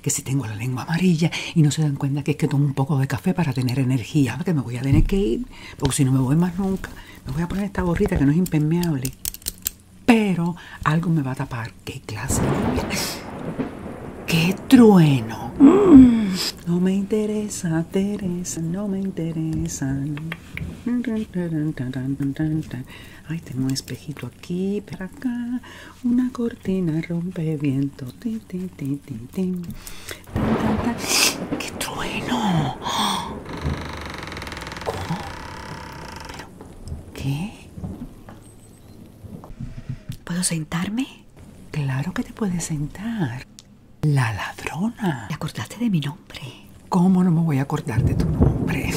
que si tengo la lengua amarilla y no se dan cuenta que es que tomo un poco de café para tener energía, ah, que me voy a tener que ir, porque si no me voy más nunca, me voy a poner esta gorrita que no es impermeable, pero algo me va a tapar. ¡Qué clase! ¡Qué trueno! No me interesa, Teresa, no me interesa Ay, tengo un espejito aquí, para acá, una Tina rompe viento. qué? trueno cómo qué puedo sentarme? Claro que te puedes sentar. La ladrona. ¿Te acordaste de mi nombre? ¿Cómo no me voy a acordar de tu nombre?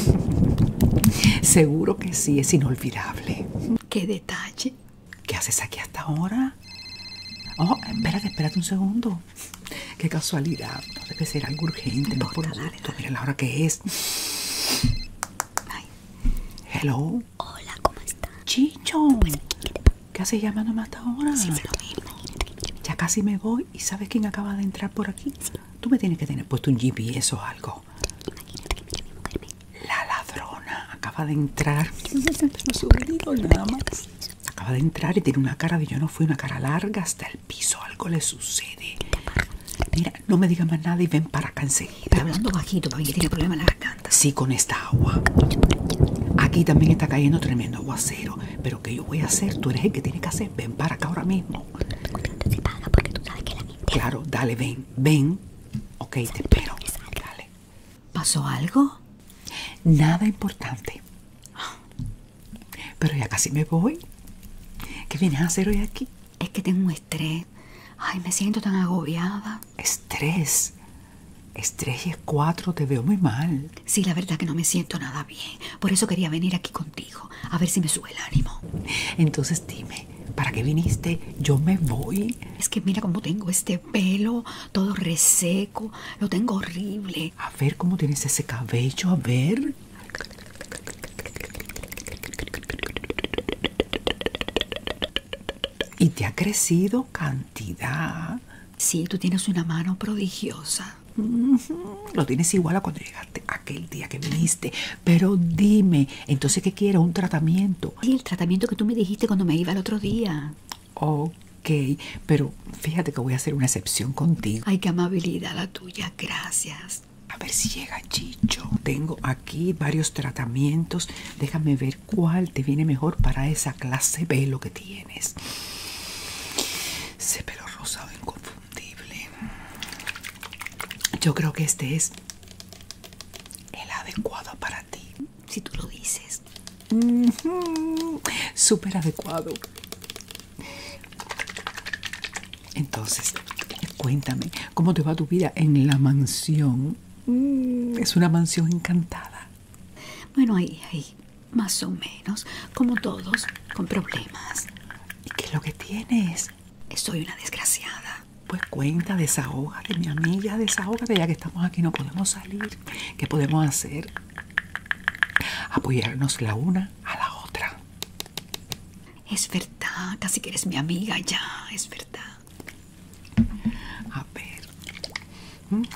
Seguro que sí, es inolvidable. ¡Qué detalle! ¿Qué haces aquí hasta ahora? Oh, espérate, espérate un segundo. Qué casualidad. No que será, algo urgente. No, por la hora que es. Hello. Hola, ¿cómo estás? Chicho. ¿Qué haces llamándome hasta ahora? Sí, mismo. ya casi me voy. ¿Y sabes quién acaba de entrar por aquí? Tú me tienes que tener puesto un GPS o algo. La ladrona acaba de entrar. Acaba de entrar y tiene una cara de yo no fui, una cara larga hasta el piso. Algo le sucede. Mira, no me digas más nada y ven para acá enseguida. Está hablando bajito, porque tiene problemas en la garganta. Sí, con esta agua. Aquí también está cayendo tremendo aguacero. Pero ¿qué yo voy a hacer? Tú eres el que tiene que hacer. Ven para acá ahora mismo. Claro, dale, ven, ven. Ok, te espero. Dale. ¿Pasó algo? Nada importante. Pero ya casi me voy. ¿Qué vienes a hacer hoy aquí? Es que tengo un estrés. Ay, me siento tan agobiada. ¿Estrés? Estrés y es cuatro, te veo muy mal. Sí, la verdad que no me siento nada bien. Por eso quería venir aquí contigo, a ver si me sube el ánimo. Entonces dime, ¿Para qué viniste? Yo me voy. Es que mira cómo tengo este pelo, todo reseco, lo tengo horrible. A ver cómo tienes ese cabello, a ver. Y te ha crecido cantidad. Sí, tú tienes una mano prodigiosa. Lo tienes igual a cuando llegaste aquel día que viniste. Pero dime, entonces, ¿qué quiero ¿Un tratamiento? Y el tratamiento que tú me dijiste cuando me iba el otro día. Ok, pero fíjate que voy a hacer una excepción contigo. Ay, qué amabilidad la tuya, gracias. A ver si llega Chicho. Tengo aquí varios tratamientos. Déjame ver cuál te viene mejor para esa clase de lo que tienes. Ese pelo rosado inconfundible. Yo creo que este es el adecuado para ti. Si tú lo dices, súper adecuado. Entonces, cuéntame, ¿cómo te va tu vida en la mansión? Mm, es una mansión encantada. Bueno, ahí, ahí, más o menos, como todos, con problemas. ¿Y qué lo que tienes? Soy una desgraciada pues cuenta, de esa de mi amiga, de que ya que estamos aquí, no podemos salir. ¿Qué podemos hacer? Apoyarnos la una a la otra. Es verdad, casi que eres mi amiga ya, es verdad. A ver, vale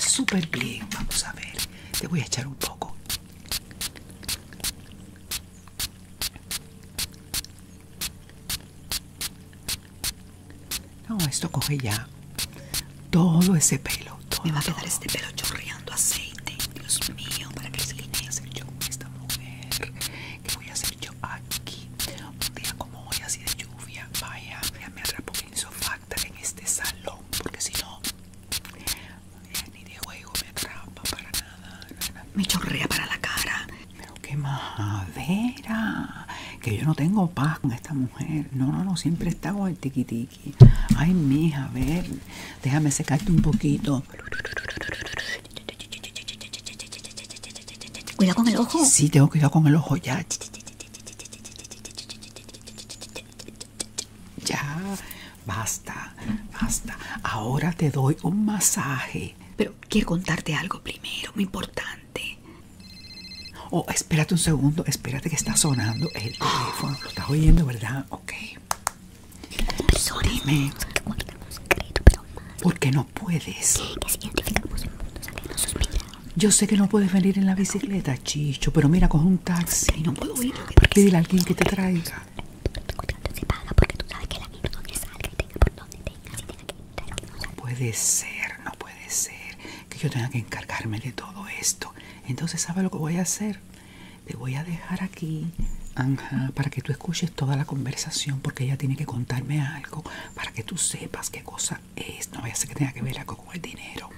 ¿Mm? súper bien, vamos a ver, te voy a echar un poco. No, esto coge ya todo ese pelo. Me va a quedar este pelo chorreando aceite. Dios mío, ¿para qué se voy a hacer yo con esta mujer? ¿Qué voy a hacer yo aquí? Un día como hoy, así de lluvia, vaya, me atrapo insofacta en este salón, porque si no, ni de juego me atrapa para nada. Me chorrea para la cara, pero qué majadera, que yo no tengo paz con esta mujer. No, no, no, siempre está con el tiqui Ay, mija, a ver, déjame secarte un poquito. Cuida con el ojo. Sí, tengo que cuidar con el ojo ya. Ya, basta, basta. Ahora te doy un masaje. Pero quiero contarte algo primero, muy importante. Oh, espérate un segundo, espérate que está sonando el teléfono. Lo estás oyendo, ¿verdad? Ok. Dime. ¿Por qué no puedes? Que Yo sé que no puedes venir en la bicicleta, Chicho, pero mira, coge un taxi. y no puedo ir. Pídele a alguien que te traiga. Porque tú sabes que la virtud le salga y tenga por donde tenga, si tenga que no puede ser, no puede ser que yo tenga que encargarme de todo esto. Entonces, ¿sabes lo que voy a hacer? Te voy a dejar aquí, Anja, para que tú escuches toda la conversación, porque ella tiene que contarme algo para que tú sepas qué cosa es. No voy a ser que tenga que ver algo con el dinero.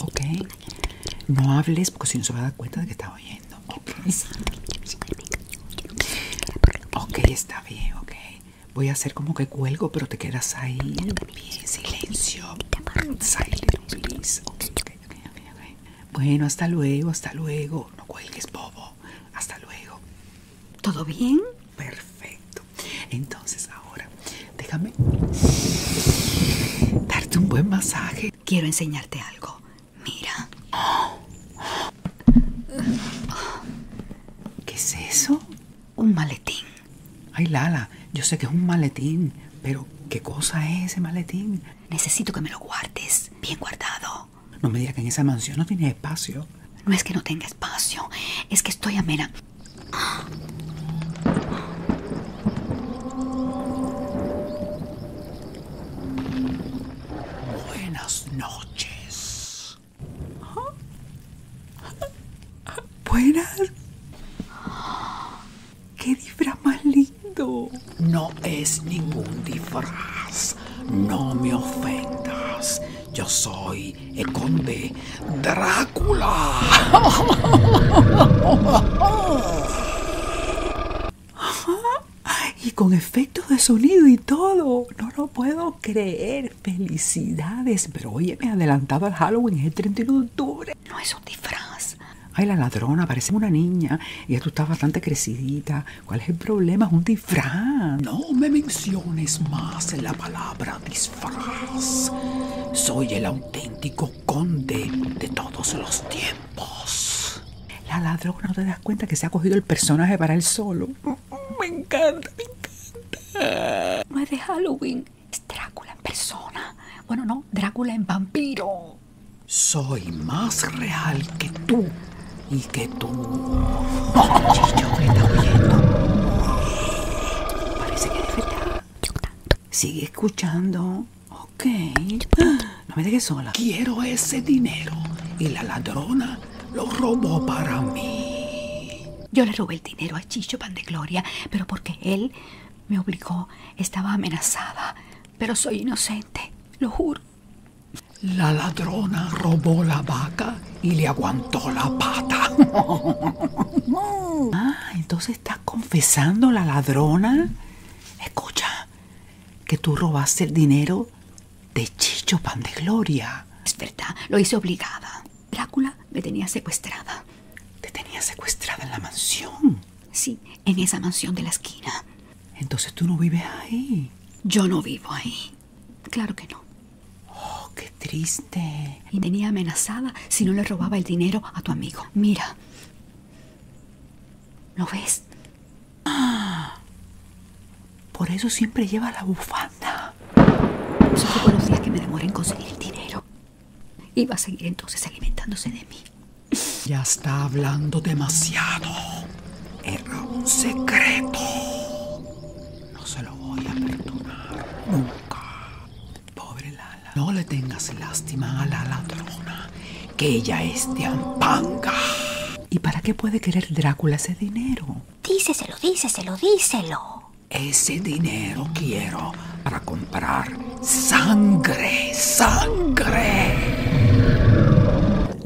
Ok. No hables porque si no se va a dar cuenta de que estás oyendo. Ok, está bien, ok. Voy a hacer como que cuelgo, pero te quedas ahí. Bien, silencio. Silent, please. ok, ok, ok. Bueno, hasta luego, hasta luego. No cuelgues, bobo. Hasta luego. ¿Todo bien? Perfecto. Entonces, ahora, déjame darte un buen masaje. Quiero enseñarte algo. Mira. ¿Qué es eso? Un maletín. Ay, Lala, yo sé que es un maletín, pero ¿qué cosa es ese maletín? Necesito que me lo guardes, bien guardado. No me digas que en esa mansión no tiene espacio. No es que no tenga espacio, es que estoy amena. Buenas noches. Buenas. ¡Qué disfraz más lindo! No es ningún disfraz. No me ofendas. Yo soy el conde Drácula. y con efectos de sonido y todo. No lo puedo creer. Felicidades. Pero oye, me he adelantado al Halloween, es el 31 de octubre. No es un disfraz. Ay, la ladrona, parece una niña. Y ya tú estás bastante crecidita. ¿Cuál es el problema? Es un disfraz. No me menciones más la palabra disfraz. Soy el auténtico conde de todos los tiempos. La ladrona, ¿no te das cuenta que se ha cogido el personaje para él solo? Me encanta, me encanta. No es de Halloween, es Drácula en persona. Bueno, no, Drácula en vampiro. Soy más real que tú y que tú. Chicho, está Parece que Sigue escuchando. Ok. No me dejes sola. Quiero ese dinero. Y la ladrona lo robó para mí. Yo le robé el dinero a Chicho Pan de Gloria, pero porque él me obligó, estaba amenazada. Pero soy inocente, lo juro. La ladrona robó la vaca y le aguantó la pata. ah, entonces estás confesando la ladrona. Escucha, que tú robaste el dinero de Chicho Pan de Gloria. Es verdad, lo hice obligada. Drácula me tenía secuestrada. ¿Te tenía secuestrada en la mansión? Sí, en esa mansión de la esquina. Entonces tú no vives ahí. Yo no vivo ahí. Claro que no. Oh, qué triste. Y tenía amenazada si no le robaba el dinero a tu amigo. Mira. ¿Lo ves? Por eso siempre lleva la bufanda. Solo por los días que me demoran en conseguir el dinero. Y va a seguir entonces alimentándose de mí. Ya está hablando demasiado. Era un secreto. No se lo voy a perdonar nunca. Pobre Lala. No le tengas lástima a la ladrona, que ella es de Ampanga. ¿Y para qué puede querer Drácula ese dinero? ¡Díselo, Díseselo, díseselo, díselo. Ese dinero quiero para comprar sangre, sangre.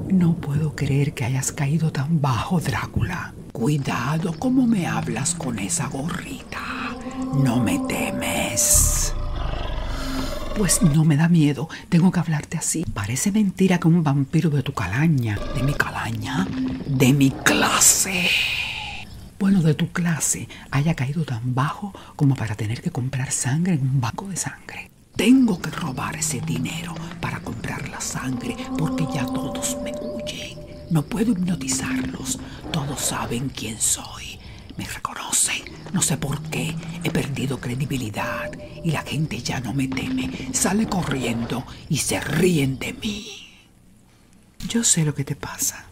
No puedo creer que hayas caído tan bajo, Drácula. Cuidado cómo me hablas con esa gorrita. No me temes. Pues no me da miedo, tengo que hablarte así. Parece mentira que un vampiro de tu calaña, de mi calaña, de mi clase bueno de tu clase haya caído tan bajo como para tener que comprar sangre en un banco de sangre. Tengo que robar ese dinero para comprar la sangre porque ya todos me huyen. No puedo hipnotizarlos. Todos saben quién soy. Me reconocen. No sé por qué. He perdido credibilidad y la gente ya no me teme, sale corriendo y se ríen de mí. Yo sé lo que te pasa.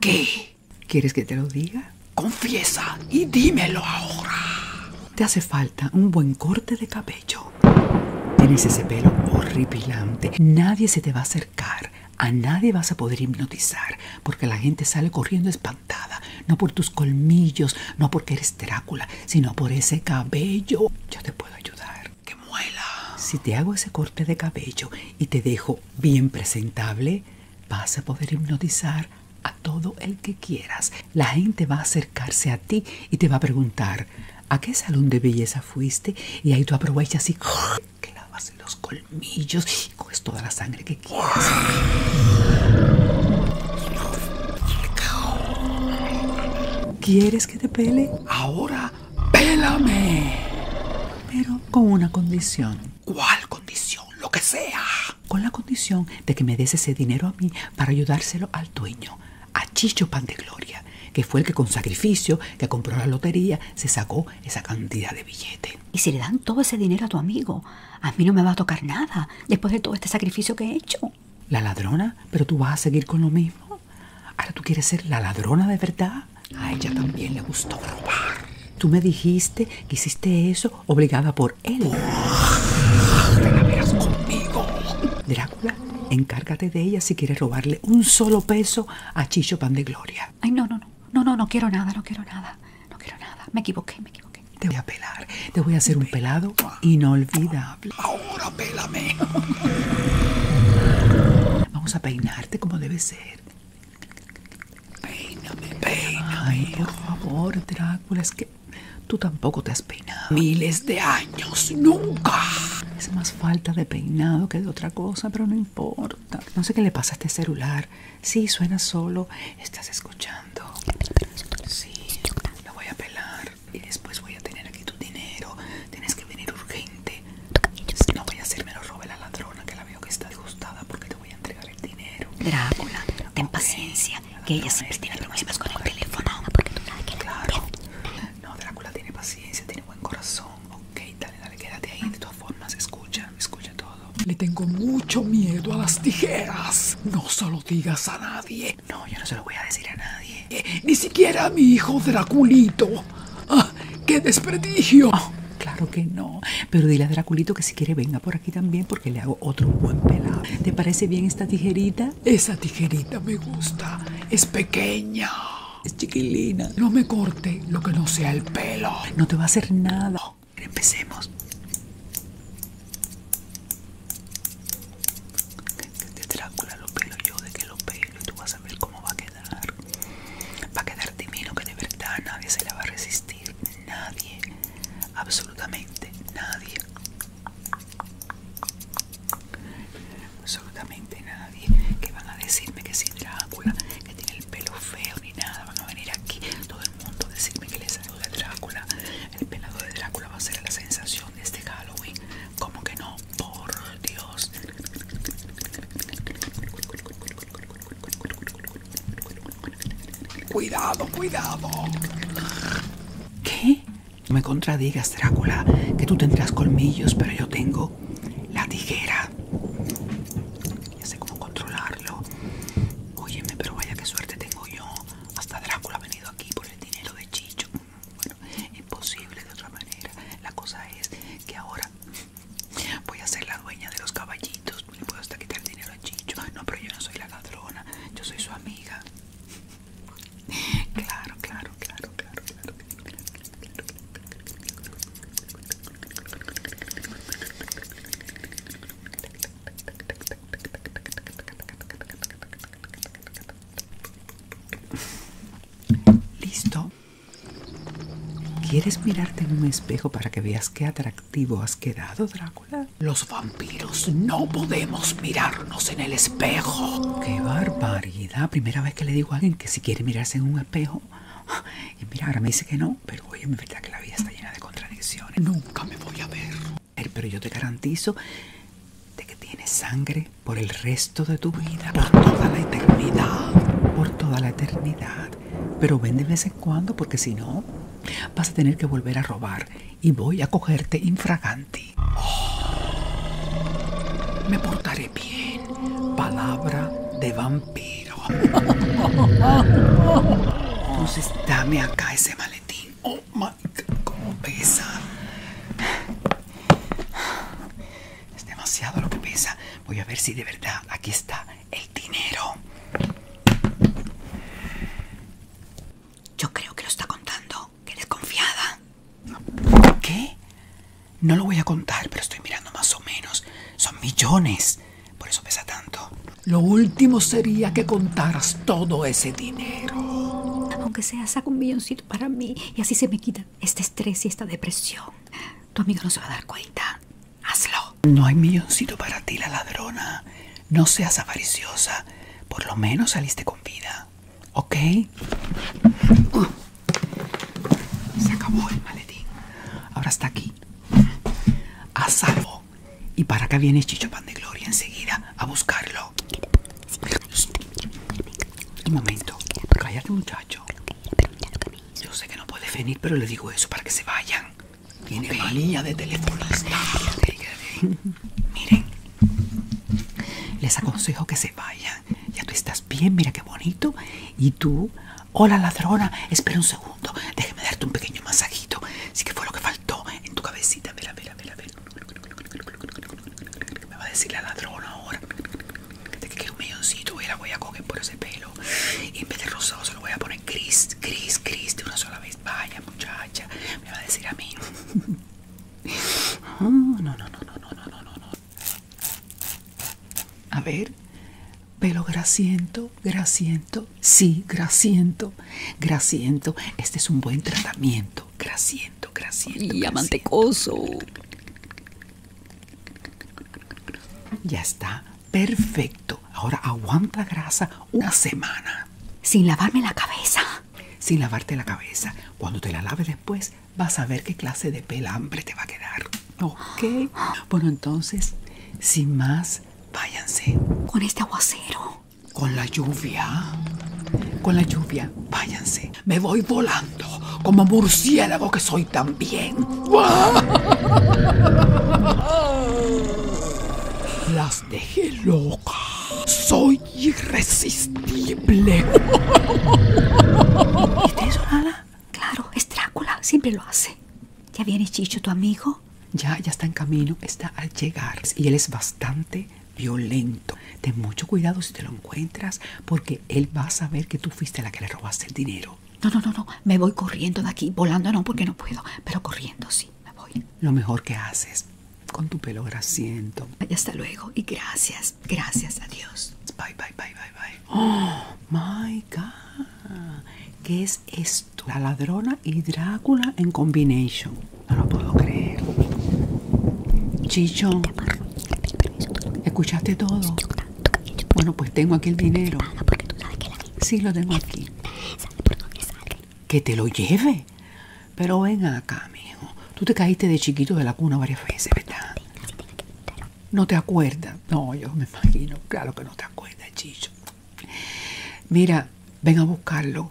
¿Qué? ¿Quieres que te lo diga? Confiesa y dímelo ahora. Te hace falta un buen corte de cabello. Tienes ese pelo horripilante. Nadie se te va a acercar. A nadie vas a poder hipnotizar porque la gente sale corriendo espantada, no por tus colmillos, no porque eres Drácula, sino por ese cabello. Yo te puedo ayudar. que muela! Si te hago ese corte de cabello y te dejo bien presentable, vas a poder hipnotizar a todo el que quieras. La gente va a acercarse a ti y te va a preguntar, ¿a qué salón de belleza fuiste? Y ahí tú aprovechas y clavas los colmillos y coges toda la sangre que quieras. ¿Quieres que te pele? Ahora, pélame. Pero con una condición. ¿Cuál condición? Lo que sea. Con la condición de que me des ese dinero a mí para ayudárselo al dueño, a Chicho Pan de Gloria, que fue el que con sacrificio, que compró la lotería, se sacó esa cantidad de billetes Y si le dan todo ese dinero a tu amigo, a mí no me va a tocar nada después de todo este sacrificio que he hecho. ¿La ladrona? ¿Pero tú vas a seguir con lo mismo? ¿Ahora tú quieres ser la ladrona de verdad? A ella también le gustó robar. Tú me dijiste que hiciste eso obligada por él. ¿Te conmigo? Drácula, encárgate de ella si quieres robarle un solo peso a Chicho Pan de Gloria. Ay, no, no, no. No, no, no quiero nada, no quiero nada. No quiero nada. Me equivoqué, me equivoqué. Te voy a pelar. Te voy a hacer un pelado inolvidable. Ahora pélame. Vamos a peinarte como debe ser. Peíname, peíname. Ay, por favor, Drácula, es que tú tampoco te has peinado. Miles de años, nunca. Es más falta de peinado que de otra cosa, pero no importa. No sé qué le pasa a este celular. Sí, suena solo. Estás escuchando. Sí, lo voy a pelar y después voy a tener aquí tu dinero. Tienes que venir urgente. No voy a hacerme lo robe la ladrona que la veo que está disgustada porque te voy a entregar el dinero. Drácula, ten paciencia, que ella siempre tiene problemas con el teléfono. Porque tú sabes que claro. No, Drácula tiene paciencia, tiene buen corazón. Ok, dale, dale, quédate ahí. De todas formas, escucha, escucha todo. Le tengo mucho miedo a las tijeras. No se lo digas a nadie. Eh, no, yo no se lo voy a decir a nadie. Eh, ni siquiera a mi hijo Draculito. Ah, ¡Qué desprestigio! Oh, claro que no. Pero dile a Draculito que si quiere venga por aquí también porque le hago otro buen pelado. ¿Te parece bien esta tijerita? Esa tijerita me gusta. Es pequeña. Es chiquilina. No me corte lo que no sea el pelo. No te va a hacer nada. Oh, empecemos. De Drácula lo pelo yo, de que lo pelo y tú vas a ver cómo va a quedar. Va a quedar divino que de verdad nadie se la va a resistir. Nadie. Absolutamente nadie. Absolutamente nadie. Que van a decirme que si Drácula, que tiene el pelo feo ni nada, van a venir aquí todo el mundo a decirme que le salió Drácula. El pelado de Drácula va a ser la sensación de este Halloween. Como que no, por Dios. Cuidado, cuidado. ¿Qué? No me contradigas, Drácula, que tú tendrás colmillos, pero yo tengo la tijera. Ya sé cómo controlarlo. Óyeme, pero vaya qué suerte tengo yo. Hasta Drácula ha venido aquí por el dinero de Chicho. Bueno, imposible de otra manera. La cosa es que ahora voy a ser la dueña de los caballitos. Le puedo hasta quitar el dinero a Chicho. No, pero yo no soy la ladrona. Yo soy su amiga. claro, claro, claro, claro. Listo. ¿Quieres mirarte en un espejo para que veas qué atractivo has quedado, Drácula? Los vampiros no podemos mirarnos en el espejo. ¡Qué barbaridad! Primera vez que le digo a alguien que si quiere mirarse en un espejo. Y mira, ahora me dice que no, pero oye, me verdad que la vida está llena de contradicciones. Nunca me voy a ver pero yo te garantizo de que tienes sangre por el resto de tu vida, por toda la eternidad, por toda la eternidad. Pero ven de vez en cuando porque si no, vas a tener que volver a robar y voy a cogerte infraganti. Oh, me portaré bien. Palabra de vampiro. Entonces dame acá ese maletín. Oh, cómo pesa. Es demasiado lo que pesa. Voy a ver si de verdad aquí está el dinero. Yo creo que lo está contando. Que desconfiada. ¿Qué? No lo voy a contar, pero estoy mirando más o menos. Son millones. Por eso pesa tanto. Lo último sería que contaras todo ese dinero. Aunque sea, saca un milloncito para mí y así se me quita este estrés y esta depresión. Tu amigo no se va a dar cuenta. Hazlo. No hay milloncito para ti, la ladrona. No seas avariciosa. Por lo menos saliste con vida. ¿Ok? Se acabó el maletín. Ahora está aquí. A salvo. ¿Y para acá viene Chicho Pan de Gloria enseguida a buscarlo? Un momento. Cállate, muchacho. Yo sé que no puedes venir, pero le digo eso para que se vayan. Tiene manía de teléfono. Miren, les aconsejo que se vayan. Ya tú estás bien, mira qué bonito. Y tú, hola ladrona, espera un segundo. Déjeme darte un pequeño masajito. Sí que fue lo que faltó en tu cabecita. Mira, mira, mira, mira. Me va a decir la ladrona ahora que quiero un milloncito y la voy a coger por ese pelo. Y en vez de rosado se lo voy a poner gris, gris, gris de una sola vez. Vaya muchacha, me va a decir a mí. No, ah, no, no, no, no, no, no, no, no. A ver, pelo grasiento, grasiento, sí, grasiento, grasiento. Este es un buen tratamiento grasiento, grasiento, Y amantecoso. Ya está, perfecto. Ahora aguanta grasa una semana. Sin lavarme la cabeza. Sin lavarte la cabeza. Cuando te la laves después, vas a ver qué clase de pelambre te va a quedar. Ok. Bueno, entonces, sin más, váyanse. Con este aguacero. Con la lluvia. Con la lluvia. Váyanse. Me voy volando. Como murciélago que soy también. Las dejé loca. Soy irresistible. eso, Claro, es Drácula. Siempre lo hace. ¿Ya viene Chicho, tu amigo? Ya, ya está en camino. Está al llegar. Y él es bastante violento. Ten mucho cuidado si te lo encuentras, porque él va a saber que tú fuiste la que le robaste el dinero. No, no, no, no. Me voy corriendo de aquí, volando no, porque no puedo, pero corriendo sí, me voy. Lo mejor que haces, con tu pelo grasiento. Y hasta luego, y gracias, gracias, adiós. Bye, bye, bye, bye, bye. Oh, my God. ¿Qué es esto? La ladrona y Drácula en combination. No lo puedo creer. Chicho, ¿escuchaste todo? Bueno, pues tengo aquí el dinero. Sí, lo tengo aquí. Que te lo lleve. Pero ven acá, mijo. Tú te caíste de chiquito de la cuna varias veces, No te acuerdas. No, yo me imagino. Claro que no te acuerdas, Chicho. Mira, ven a buscarlo.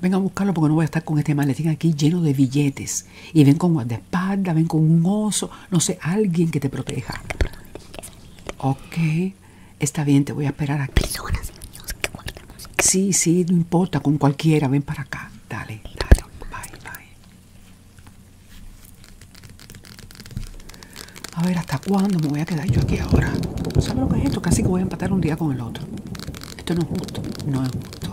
Venga a buscarlo porque no voy a estar con este maletín aquí lleno de billetes. Y ven con guardaespaldas, ven con un oso, no sé, alguien que te proteja. Ok, está bien, te voy a esperar aquí. Sí, sí, no importa, con cualquiera, ven para acá. Dale, dale, bye, bye. A ver, ¿hasta cuándo me voy a quedar yo aquí ahora? ¿Sabes lo que es esto? Casi que voy a empatar un día con el otro. Esto no es justo, no es justo.